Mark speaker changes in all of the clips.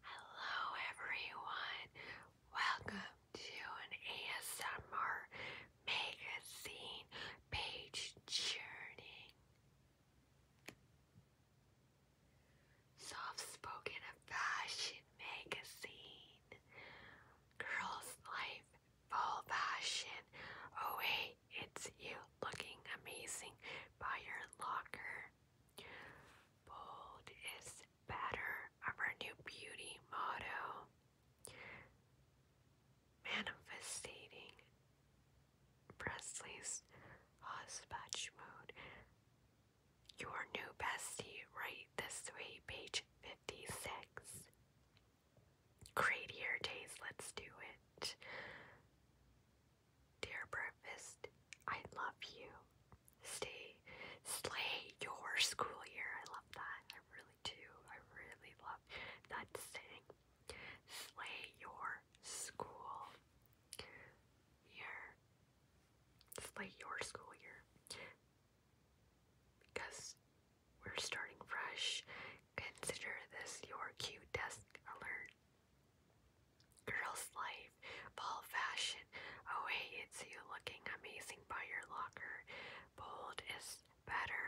Speaker 1: Hello, everyone. Welcome to an ASMR magazine page churning soft-spoken fashion magazine. Girls' life, full fashion. Oh hey, it's you looking amazing by your locker. Bold is better of our new beauty motto. Manifesting Presley's Hospatch mode your new bestie, right this way, page 56. Great year days, let's do it. Dear breakfast, I love you. Stay, slay your school year. I love that. I really do. I really love that saying. Slay your school year. Slay your school year because we're starting fresh. Consider this your Q desk alert. Girls' life, fall fashion. Oh, hey, it's you looking amazing by your locker. Bold is better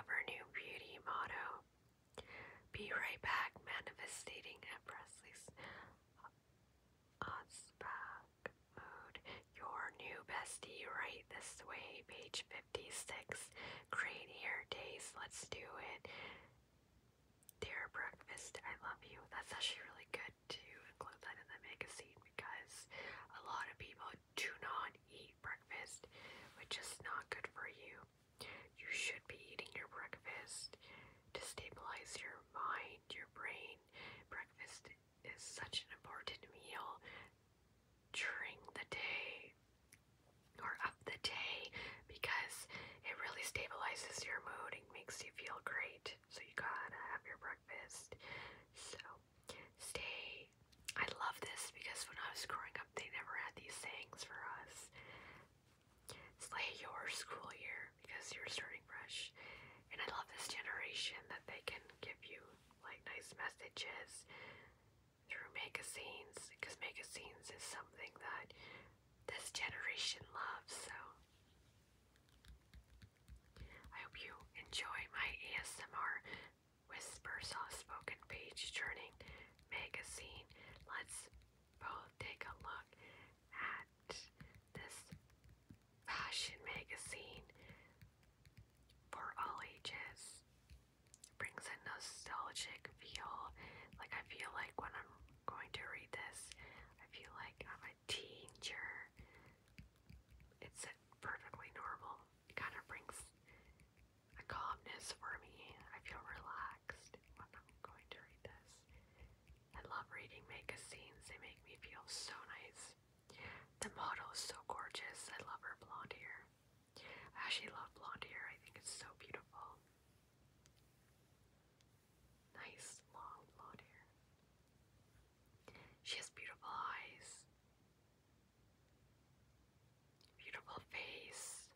Speaker 1: of her new beauty motto. Be right back, manifesting at Presley's Hotspot. Mood. Your new bestie, right this way, page 56. Great hair days, let's do it. Dear breakfast, I love you. That's actually really good to include that in the magazine because a lot of people do not eat breakfast, which is not good for you. You should be eating your breakfast to stabilize your mind, your brain. Breakfast is such an important meal during the day or of the day because it really stabilizes your mood and makes you feel great. So you gotta have your breakfast. So stay. I love this because when I was growing up, they never had these sayings for us. Slay your school year because you're starting fresh. And I love this generation that they can give you like nice messages through magazines because magazines is something that this generation loves. So I hope you enjoy my ASMR Whisper Soft Spoken Page Turning magazine. Let's both take a look at this fashion magazine for all ages. brings a nostalgic feel. Like, I feel like when I'm going to read this, I feel like I'm a teenager. It's a perfectly normal. It kind of brings a calmness for me. I feel relaxed when I'm going to read this. I love reading magazines, they make me feel so nice. The model is so gorgeous. I love her blonde hair. I actually love blonde hair. I think it's so beautiful. Nice long blonde hair. She has beautiful eyes. Beautiful face.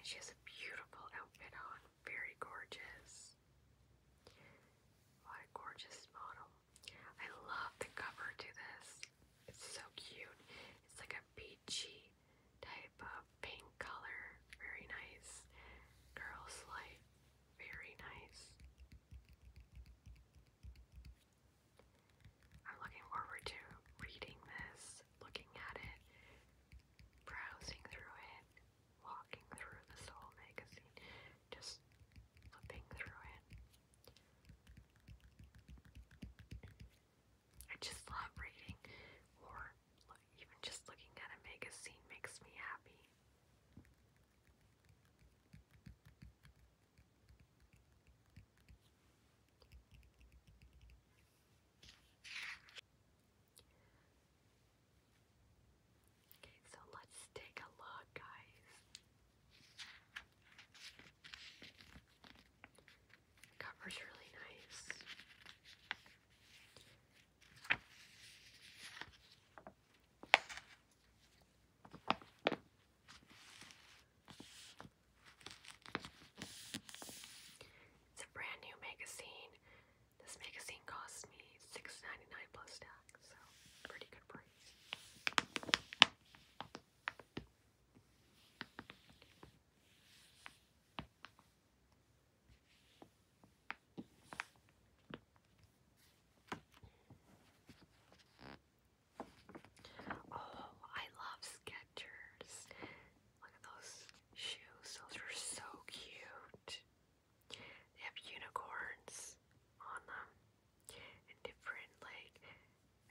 Speaker 1: And she has a beautiful outfit on. Very gorgeous. What a gorgeous model. I love the cover to this. It's so cute. It's like a peachy type of pink color. Very nice. girls' Slight. Very nice. I'm looking forward to reading this, looking at it, browsing through it walking through this whole magazine, just flipping through it. I just love reading, or even just looking at a magazine makes me happy. Okay, so let's take a look, guys. cover's really nice. It's a brand new magazine. This magazine cost me 6 plus tax so pretty good price. Oh, I love Skechers. Look at those shoes. Those are so cute. They have unicorns on them and different like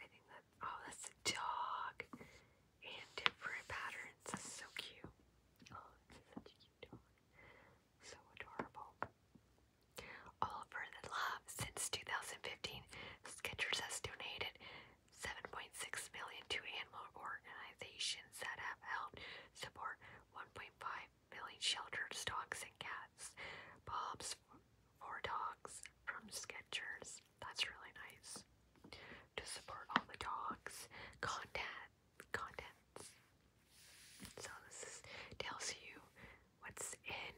Speaker 1: I think that oh that's a dog and different patterns. That's so cute. Oh, such a cute dog. So adorable. Oliver the Love since 2015 Sketchers has donated 7.6 million to animal organizations that have helped support 1.5 Millie shelters dogs and cats. Bob's for dogs from Skechers. That's really nice. To support all the dogs. Content contents. So this tells you what's in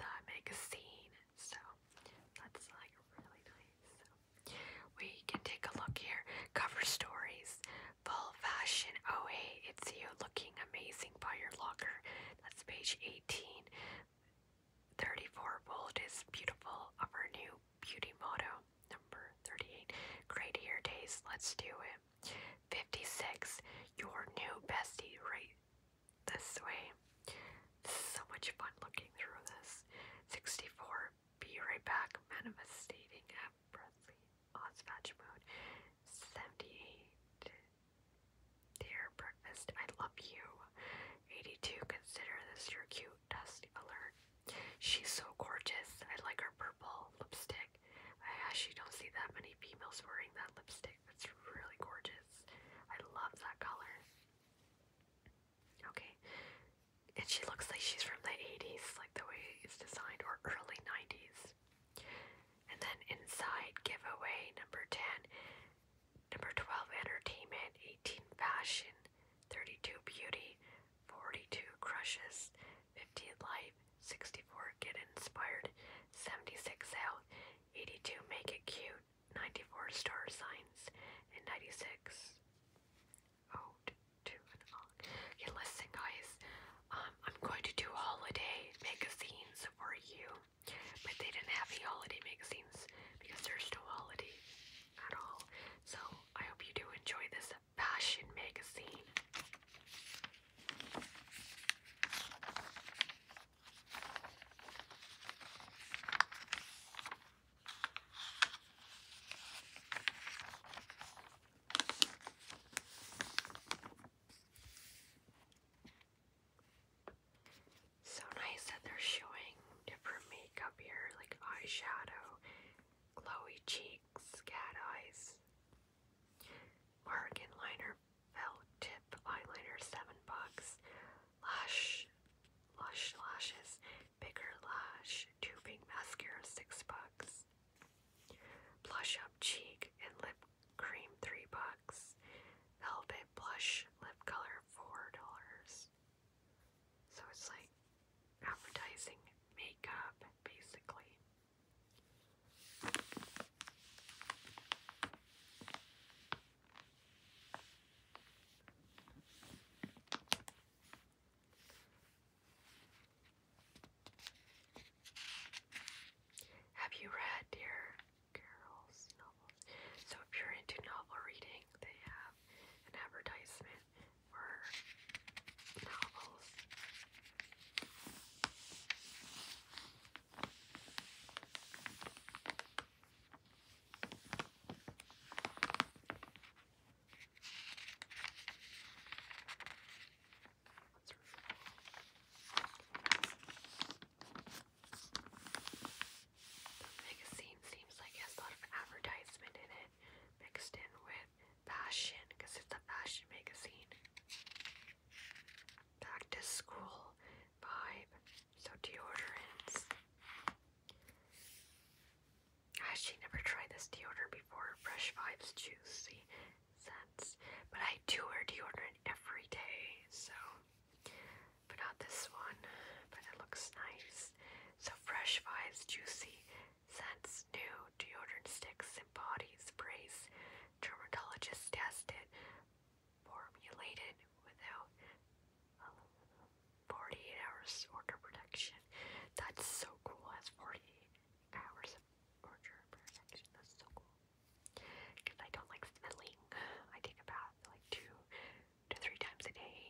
Speaker 1: the magazine. So that's like really nice. we can take a look here. Cover stories. Full fashion. Oh hey, it's you looking amazing by locker. That's page 18. 34 volt is beautiful of our new beauty motto. Number 38. Great hair days. Let's do it. 56. Your new bestie right this way. This is so much fun looking through this. 64. Be right back. Manifestating Presley, Oz Fetch Dear Breakfast, I Love You, 82, Consider This Your Cute, Dust Alert, She's So Gorgeous, I Like Her Purple Lipstick, I actually don't see that many females wearing that lipstick, that's really gorgeous, I love that color. Okay, and she looks like she's from the 80s, like the way it's designed, or early 90s. And then inside giveaway number 10, number 12 entertainment, 18 fashion, 32 beauty, 42 crushes, 50 life, 64 get inspired, 76 health, 82 make it cute, 94 star signs, and 96 ode to an Okay, listen guys, um, I'm going to do holiday magazines for you, but they didn't have the holiday magazines because there's no holiday at all. So I hope you do enjoy this fashion magazine. So nice that they're showing different makeup here, like eyeshadow, glowy cheeks, cat eyes, Mark liner, felt tip eyeliner, seven bucks, lush, lush lashes, bigger lash, tubing mascara, six bucks, blush up cheek and lip cream three bucks, velvet blush lip color four dollars. So it's like advertising makeup basically. Have you read Dear Carol's novels? So if you're into novel reading, they have an advertisement for novels magazine seems like a lot of advertisement in it mixed in with fashion because it's a fashion magazine. Back to school vibe. So deodorants. I actually never tried this deodorant before. Fresh Vibes Juicy cents. But I do wear deodorant every day, so but not this one. But it looks nice. So Fresh Vibes Juicy Scents New Deodorant Sticks and Body Sprays. Dermatologist tested, formulated without 48 hours order protection. That's so cool. That's 48 hours of order protection. That's so cool because I don't like smelling. I take a bath like two to three times a day.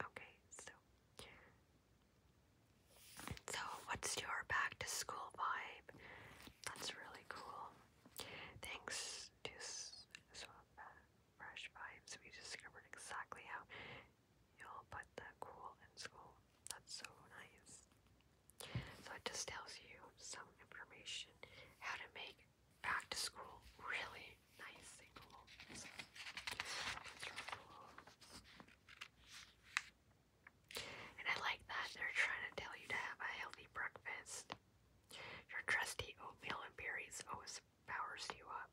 Speaker 1: Okay, so so what's your back to school vibe? That's really cool. Thanks to sort of uh, fresh vibes, we discovered exactly how you'll put the cool in school. That's so nice. So it just tells you some information how to make back to school really nice and cool. and I like that they're trying to tell you to have a healthy breakfast. Your trusty oatmeal and berries always powers you up.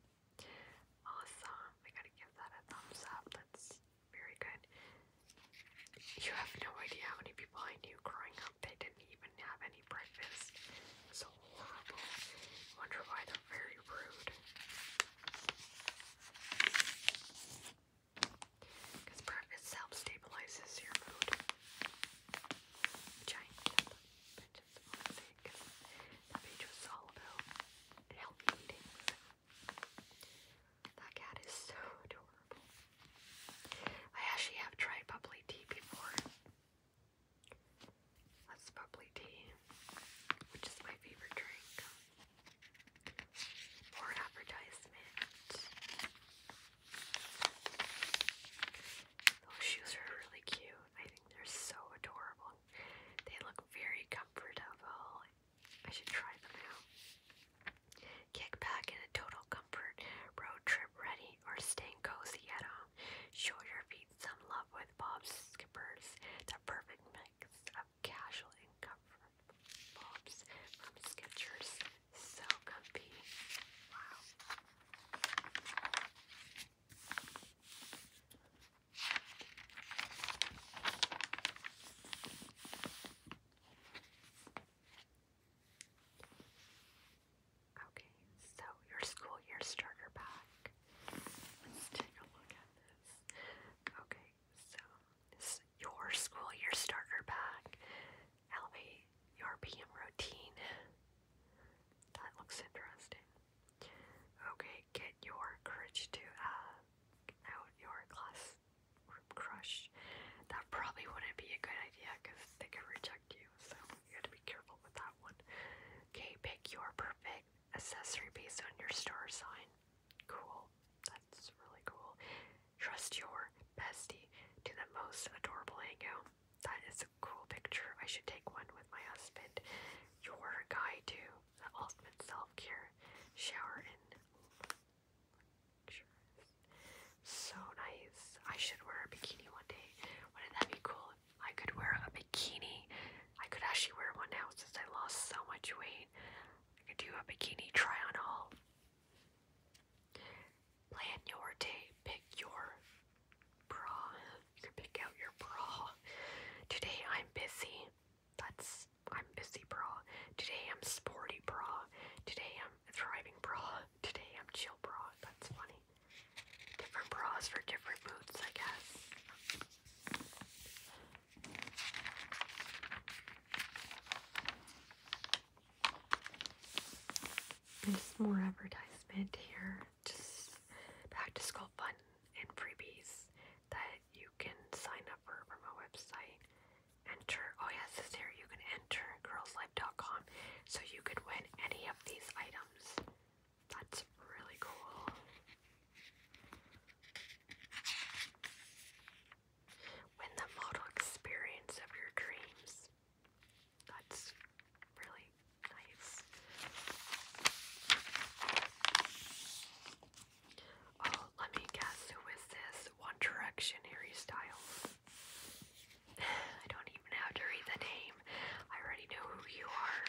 Speaker 1: Awesome. I gotta give that a thumbs up. That's very good. You have no idea how many people I knew growing up. They didn't even have any breakfast. It's horrible. Wonder why they're very rude. Because breakfast self stabilizes your mood. Which page was all about healthy eating. That cat is so adorable. I actually have tried bubbly tea before. That's bubbly tea, which is my favorite drink. Or an Those shoes are really cute. I think they're so adorable. They look very comfortable I should try them out. Kick back in a total comfort, road trip ready, or staying cozy at home. Show your feet some love with Bob's Skippers, the perfect mix of casual and comfort. Bob's from Skechers, so comfy. Wow. Okay, so your school year starter pack. Let's take a look at this. Okay, so your school year starter pack. Elevate your PM routine. That looks interesting. Okay, get your courage to uh, out your class group crush, that probably wouldn't be a good idea because they could reject you. So you have to be careful with that one. Okay, pick your perfect accessory based on your star sign. Cool. That's really cool. Trust your bestie to the most adorable angle. That is a cool picture. I should take one with my husband. Your guide to the ultimate self care. Shower in so nice. I should wear a bikini one day. Wouldn't that be cool? I could wear a bikini. I could actually wear one now since I lost so much weight. I could do a bikini try on all. Plan your day. Pick your bra. You can pick out your bra. Today I'm busy. That's I'm busy bra. Today I'm sporty bra. Today I'm driving um, bra. Today I'm chill bra. That's funny. Different bras for different moods, I guess. There's more advertisement here. Just back to school fun and freebies that you can sign up for from a website enter. Oh yes, this here you can enter girlslife.com so you could win any of these items. That's really cool. Win the model experience of your dreams. That's really nice. Oh, let me guess who is this? One Direction Harry Styles. I don't even have to read the name. I already know who you are.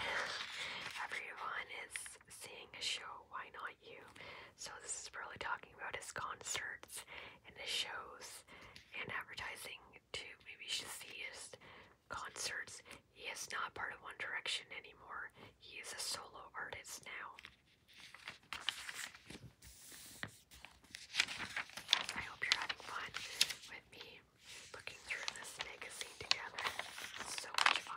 Speaker 1: Everyone is seeing a show, why not you? So this is really talking about his concerts and his shows and advertising to Maybe you should see his concerts. He is not part of One Direction anymore. He is a solo artist now. I hope you're having fun with me looking through this magazine together. so much fun.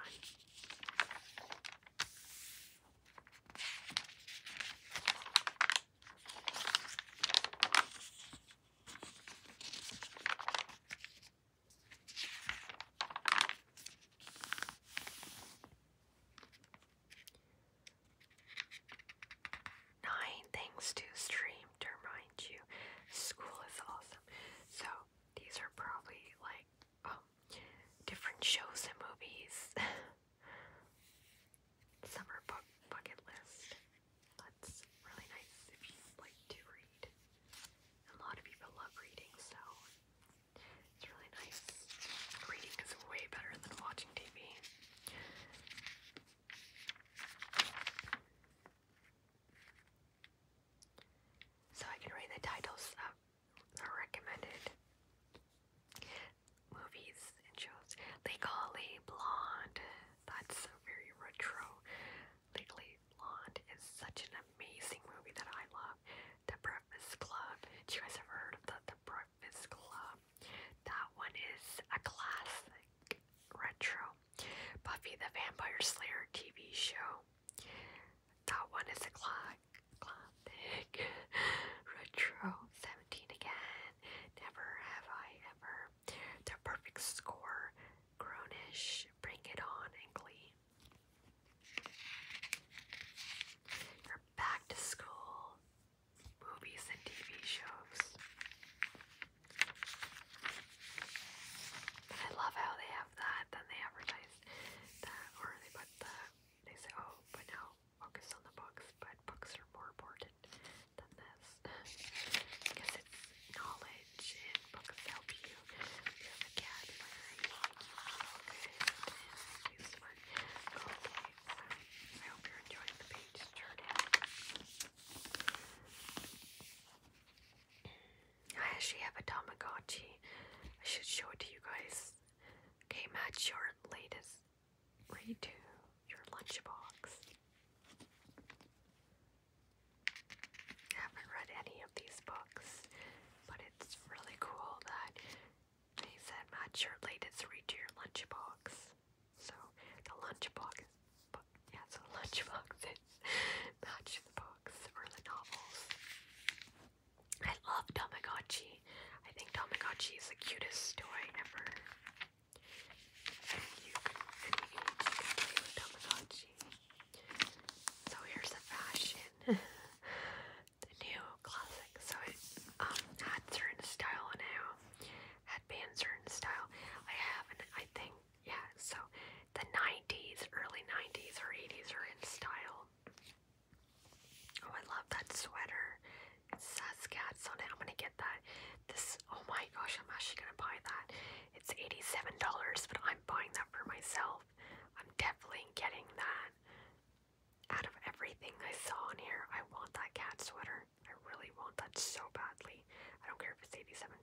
Speaker 1: Nine things to stream to remind you. School is awesome. So these are probably like um, different shows and movies. Summer book bucket list. That's really nice if you like to read. A lot of people love reading, so it's really nice. Reading is way better than watching TV. So I can read the titles of the recommended movies and shows. Legally Blonde. That's very retro. Legally Blonde is such an amazing movie that I love. The Breakfast Club. Do you guys ever heard of the, the Breakfast Club? That one is a classic retro. Buffy the Vampire Slayer TV show. That one is a Classic retro 17 again. Never have I ever. The perfect score. Grownish. Bring it on and back to school movies and TV shows. I love how they have that, then they advertise that, or they put the, they say, oh, but now focus on the books, but books are more important than this. because it's knowledge, and books help you I actually have a Tamagotchi. I should show it to you guys. Okay, match your latest read your lunchbox. haven't read any of these books, but it's really cool that he said, my shirt laid its to your lunchbox. So, the lunchbox, yeah, so lunchbox is match books or the novels. I love Tamagotchi. I think Tamagotchi is the cutest toy ever. you can play with Tamagotchi. So here's the fashion. the new classic. So um, hats are in style now had are in style. I have and I think yeah, so the nineties, early nineties or eighties are in style. Oh I love that sweater. It I'm gonna get that. This oh my gosh, I'm actually gonna buy that. It's $87, but I'm buying that for myself. I'm definitely getting that out of everything I saw in here, I want that cat sweater. I really want that so badly. I don't care if it's $87.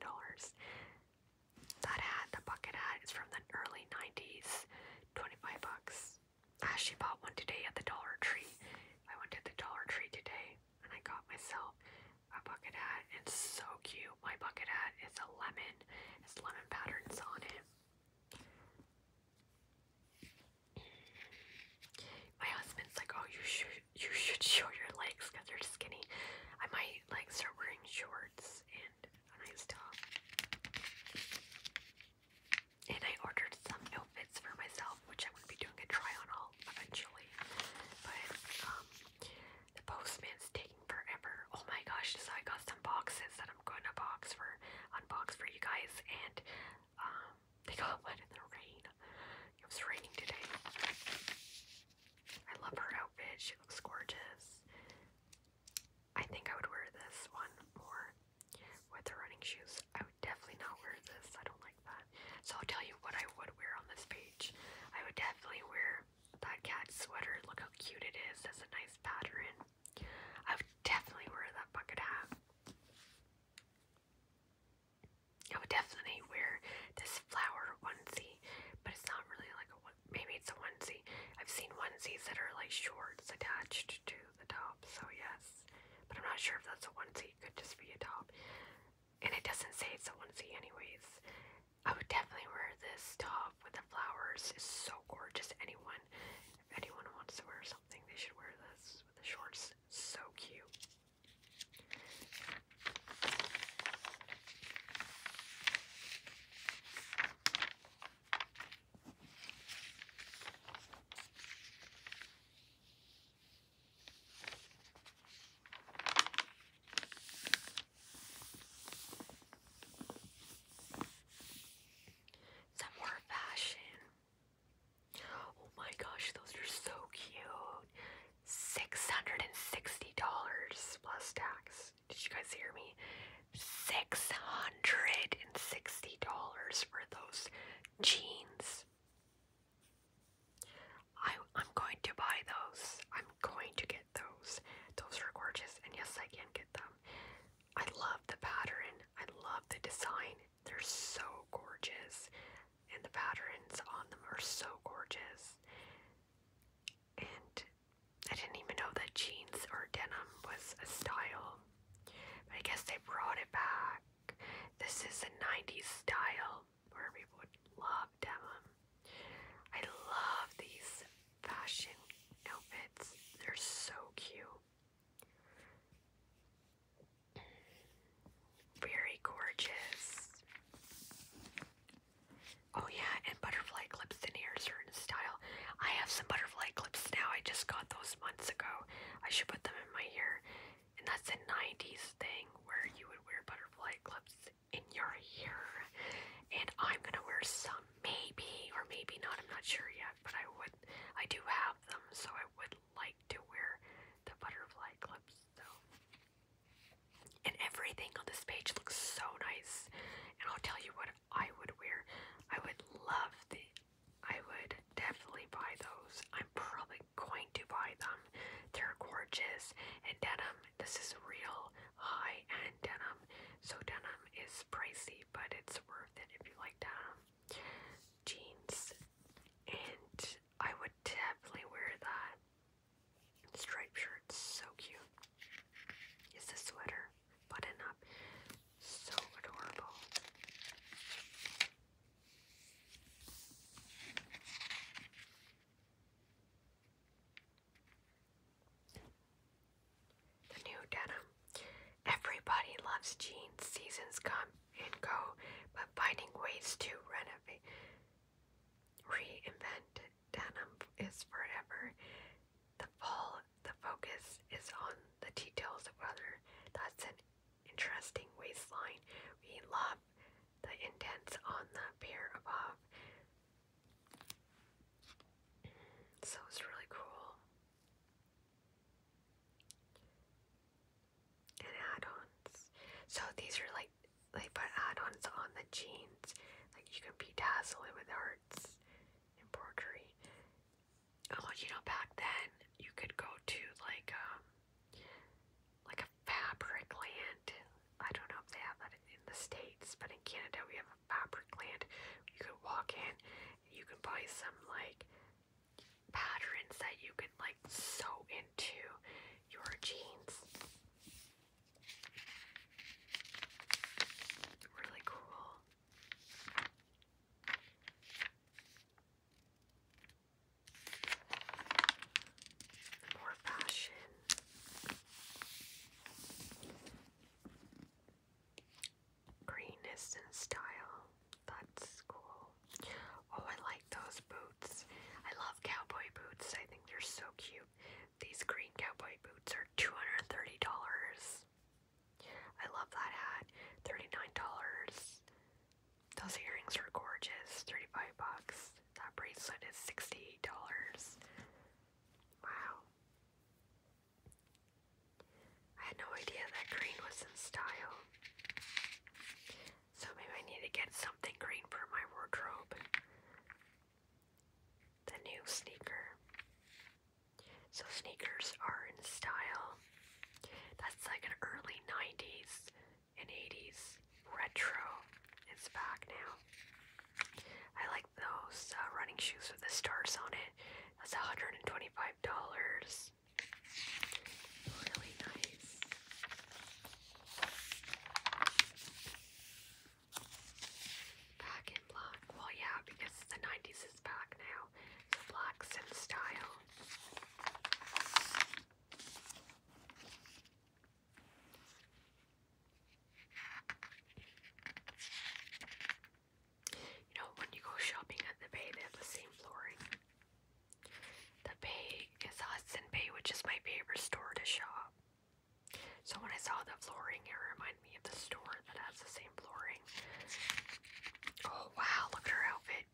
Speaker 1: That hat, the bucket hat, is from the early 90s. 25 bucks. I actually bought one today at the Dollar Tree. I went to the Dollar Tree today and I got myself a bucket hat. It's so cute. My bucket hat is a lemon. It's lemon patterns on it. My husband's like, oh, you should you should show your legs because they're skinny. I might like start wearing shorts and a nice And I ordered some outfits for myself, which I'm gonna be doing a try on all eventually. But um, the postman's taking forever. Oh my gosh! So I got some boxes that I'm going to box for unbox for you guys, and um, they got wet in the rain. It was raining today. I love her outfit. She looks gorgeous. I think I would wear this one more with the running shoes. I would definitely not wear this. I don't like that. So I'll tell you what I would wear on this page. I would definitely wear that cat sweater. Look how cute it is. That's a nice pattern. I would definitely wear that bucket hat. I would definitely wear this flower onesie, but it's not really like a one. Maybe it's a onesie. I've seen onesies that are like shorts attached to the top, so yes. But I'm not sure if that's a onesie. It could just be a top. And it doesn't say it's a onesie, anyways. I would definitely wear this top with the flowers. It's so gorgeous. Anyone, if anyone wants to wear something, they should wear this with the shorts so cute. Some more fashion. Oh my gosh, those are so cute. $660 plus tax. Did you guys hear me? $660 for those jeans. I, I'm going to buy those. I'm going to get those. Those are gorgeous, and yes, I can get them. I love the pattern, I love the design. They're so gorgeous, and the patterns on them are so gorgeous. And I didn't even know that jeans or denim was a style. I guess they brought it back. This is a 90s style where people would love denim. I love these fashion outfits, they're so cute. Very gorgeous. Oh yeah, and butterfly clips and ears are in style. I have some butterfly clips now. I just got those months ago. I should put them in my hair. And that's a 90s thing where you would wear butterfly clips in your hair. And I'm gonna wear some maybe or maybe not, I'm not sure yet, but I would I do have them, so I would like to wear the butterfly clips. So, and everything on this page looks so nice. And I'll tell you what I would wear. I would love the. I would definitely buy those. I'm probably going to buy them. They're gorgeous. And denim, this is real high end denim. So, denim is pricey, but it's worth it if you like denim jeans, and I would definitely wear that. Striped shirt's so cute. It's a sweater button up, so adorable. The new denim. Everybody loves jeans. Seasons come and go, but finding ways to renovate, reinvent denim is forever. The fall, the focus is on the details of other. That's an interesting waistline. We love the indents on the pair above. So it's really cool and add-ons. So these are like they put add-ons on the jeans. Like you can bedazzle it with hearts, embroidery. Oh, you know, back then you could go to like um like a fabric land. I don't know if they have that in the states, but in Canada we have a fabric land. You could walk in, and you can buy some like patterns that you can like sew into your jeans. Really cool. More fashion. Greenness and style. That's cool. Oh, I like those boots. I love cowboy boots. I think they're so cute. These green cowboy boots are $230. I love that hat. $39. Those earrings are gorgeous. 35 bucks. That bracelet is $68. Wow. I had no idea that green was in style. So maybe I need to get something green for my wardrobe. The new sneaker. So sneakers are in style. That's like an early 90s and 80s retro. It's back now. I like those uh, running shoes with the stars on it. That's $125. Really nice. Back in black. Well, yeah, because the 90s is back now. So black's in style. You know, when you go shopping at the bay, they have the same flooring. The bay is Hudson Bay, which is my favorite store to shop. So when I saw the flooring, it reminded me of the store that has the same flooring. Oh wow, look at her outfit.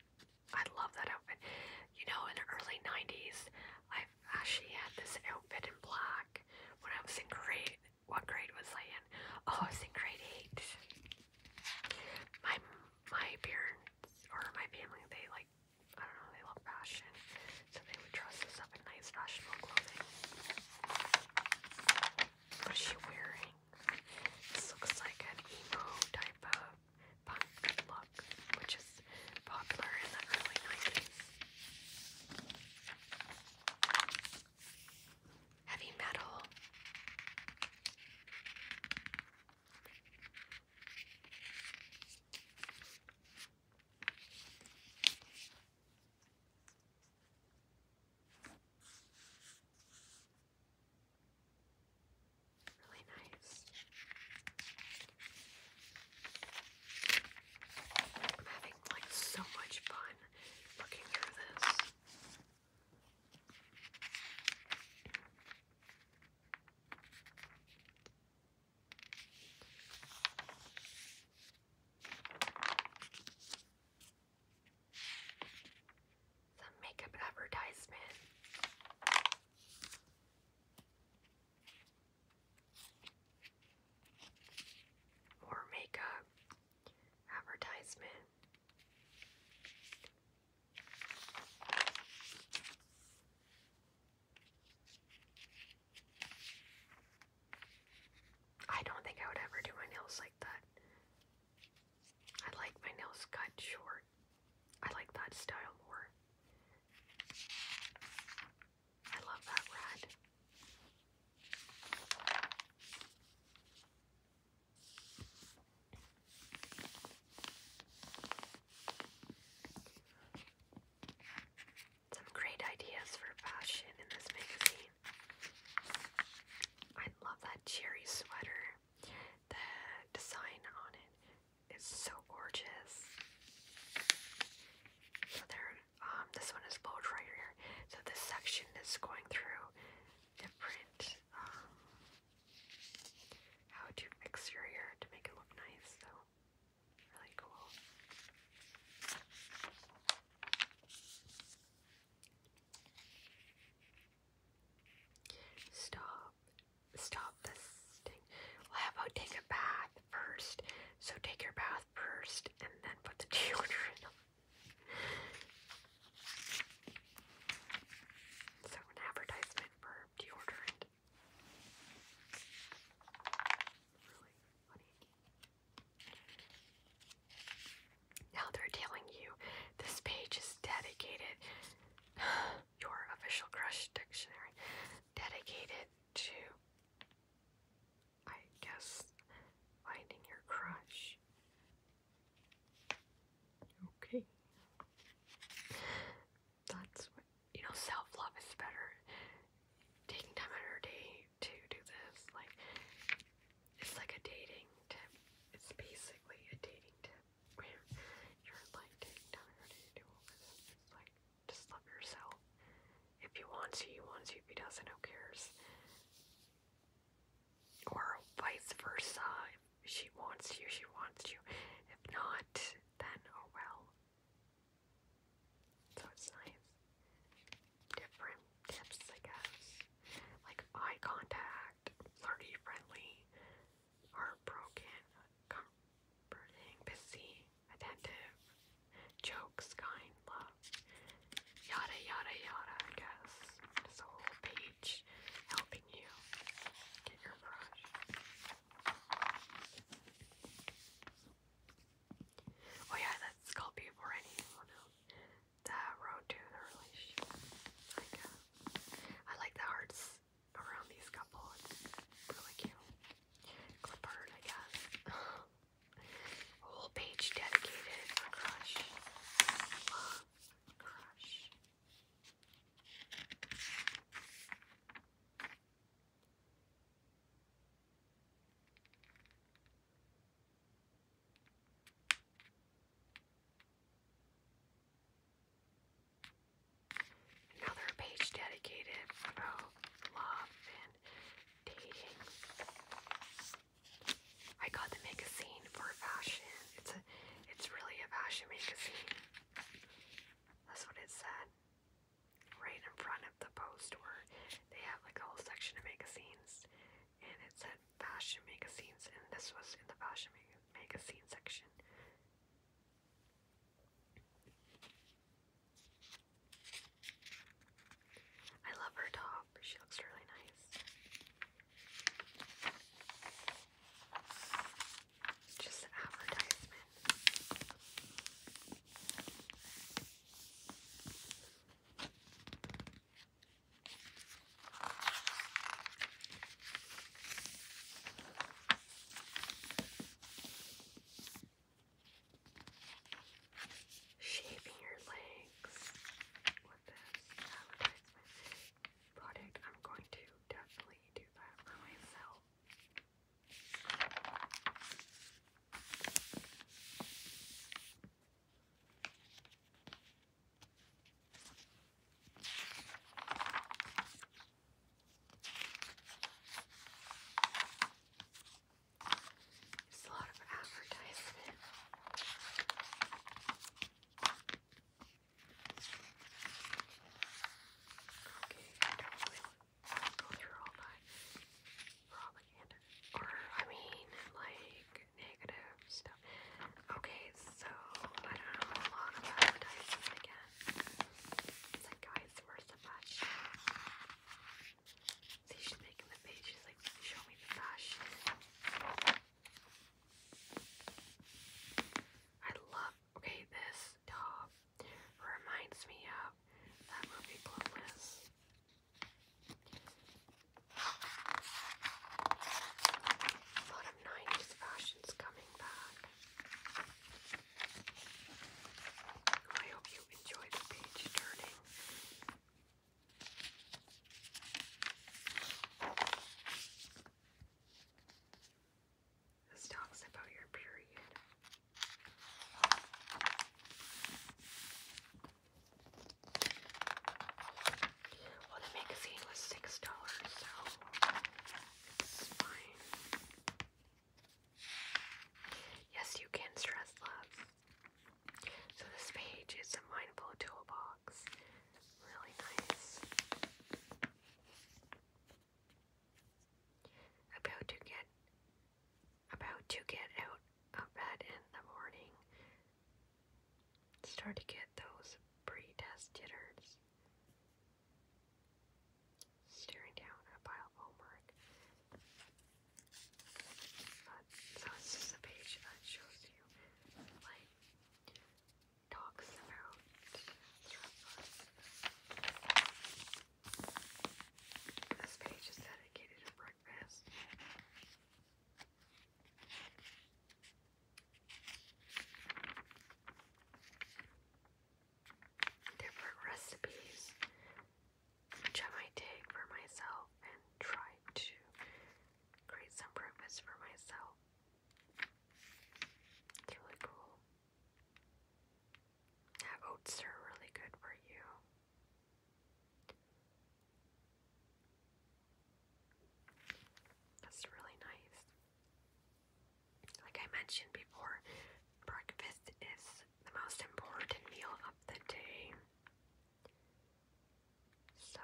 Speaker 1: I love that outfit. You know, in the early 90s, i actually had this outfit in black when I was in grade. What grade was I in? Oh, I was in grade 8. My my parents or my family, they like, I don't know, they love fashion. So they would dress us up in nice fashionable clothing. What is she wearing? This looks like an emo type of punk look, which is popular in the early 90s. Heavy metal. Really nice. I'm having like so much fun looking through this. Some makeup advertisement. More makeup advertisement. I don't think I would ever do my nails like that. I like my nails cut short. I like that style more. I love that red. Some great ideas for fashion in this magazine. I love that cherry sweater. The design on it is so gorgeous. So there, um, this one is bold right here. So this section is going through different um, how to exterior to make it look nice, so really cool. Stop. Stop this thing. how about take a bath first? So take your bath first and then put the deodorant on. So an advertisement for now they're telling you this page is dedicated, your official crush dictionary, dedicated to, I guess, finding your crush. Okay. That's what you know, self love is better. Taking time out of your day to do this, like it's like a dating tip. It's basically a dating tip where you're like taking time out of to do this. It's like just love yourself. If he wants you, want to. you. If he doesn't, who cares? Or vice versa she wants you, she wants you. If not, then oh well. So it's nice. Different tips, I guess. Like eye contact, flirty, friendly, heartbroken, comforting, busy, attentive, jokes, kind, love, yada yada yada, I guess. Just a whole page. LP helping you get your brush. Oh yeah, that's called before anyone oh, else. That road to the relationship. Like, uh, I like the hearts around these couple. It's really cute. Clip art, I guess. A whole page dedicated to crush. Love, crush. Another page dedicated about love and dating. I got the magazine for fashion. It's a it's really a fashion magazine. That's what it said. Right in front of the post where they have like a whole section of magazines and it said fashion magazines and this was in the fashion magazine section. I love her top. She looks really nice. Just an advertisement. Shaving your legs with this advertisement product. I'm going to definitely really do a lot of advertisement. Okay, I go through all my propaganda. Or, I mean, like, negative stuff. Okay, so, I don't know a lot about advertising again. It's like, guys, where's the fashion? See, she's making the page, she's like, show me the fashion. I love okay, this top reminds me of that movie Clueless. A lot of 90s fashions coming back. I hope you enjoy the page turning. This talks about your period. Well, the magazine was six dollars, so Yes, you can stress less. So this page is a mindful toolbox. Really nice. About to get about to get out of bed in the morning. Start to get those pre-test jitters. Staring down a pile of homework. so this is a page that shows you like talks about This page is dedicated to breakfast. Different recipes which I might take for myself and try to create some breakfast for myself. It's really cool oats are really good for you. That's really nice. Like I mentioned before, breakfast is the most important meal of the day. So,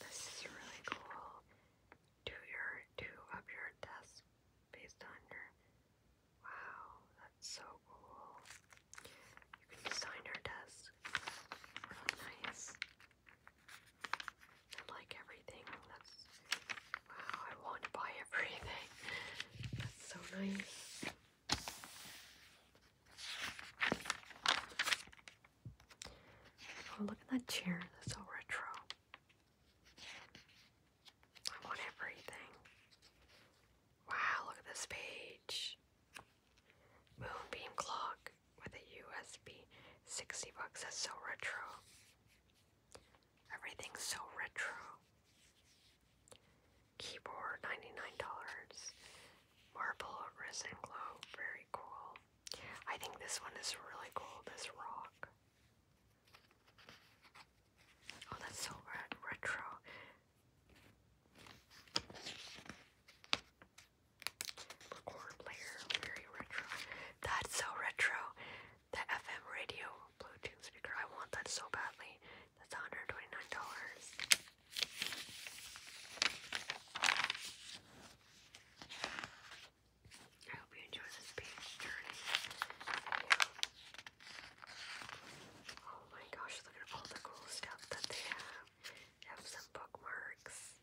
Speaker 1: this is really cool do your two of your tests based on your wow, that's so cool. You can design your tests nice. I like everything. That's wow, I want to buy everything. That's so nice. Oh, look at that chair. That's so retro. I want everything. Wow, look at this page. Moonbeam clock with a USB. 60 bucks. That's so retro. Everything's so retro. Keyboard, $99. Marble resin glow. Very cool. I think this one is really cool. This rock. Oh, that's so retro. Record player, very retro. That's so retro. The FM radio Bluetooth speaker. I want that so badly. That's $129. I hope you enjoy this page journey. Oh my gosh, look at all the cool stuff that they have. have some bookmarks,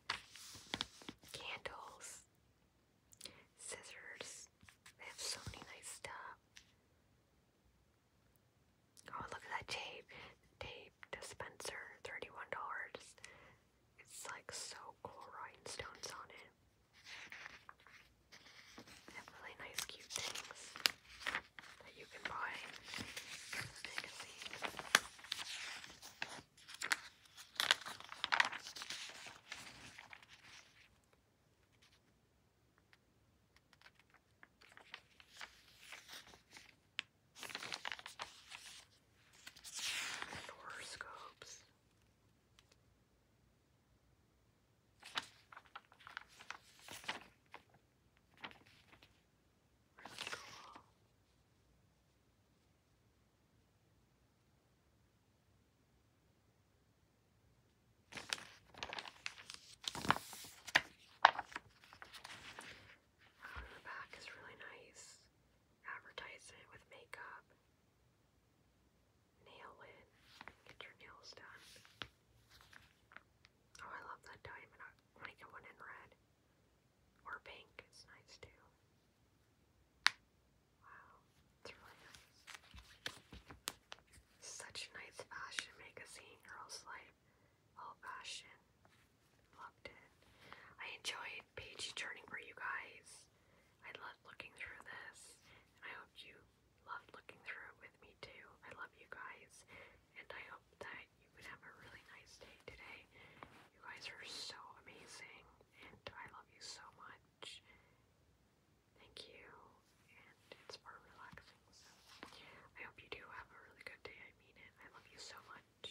Speaker 1: candles, scissors. They have so many nice stuff. Oh, look at that tape. Tape dispenser, $31. It's like so cool rhinestones on it really nice cute things that you can buy horoscopes. The back is really nice. Advertisement with makeup. Nail it. Get your nails done. Oh, I love that diamond. I want one in red. Or pink. It's nice too. Wow. It's really nice. Such nice fashion magazine, Girls Life. All fashion. Loved it. I enjoyed page turning for you guys. I loved looking through this, and I hope you loved looking through it with me too. I love you guys, and I hope that you would have a really nice day today. You guys are so amazing, and I love you so much. Thank you, and it's more relaxing, so I hope you do have a really good day. I mean it. I love you so much.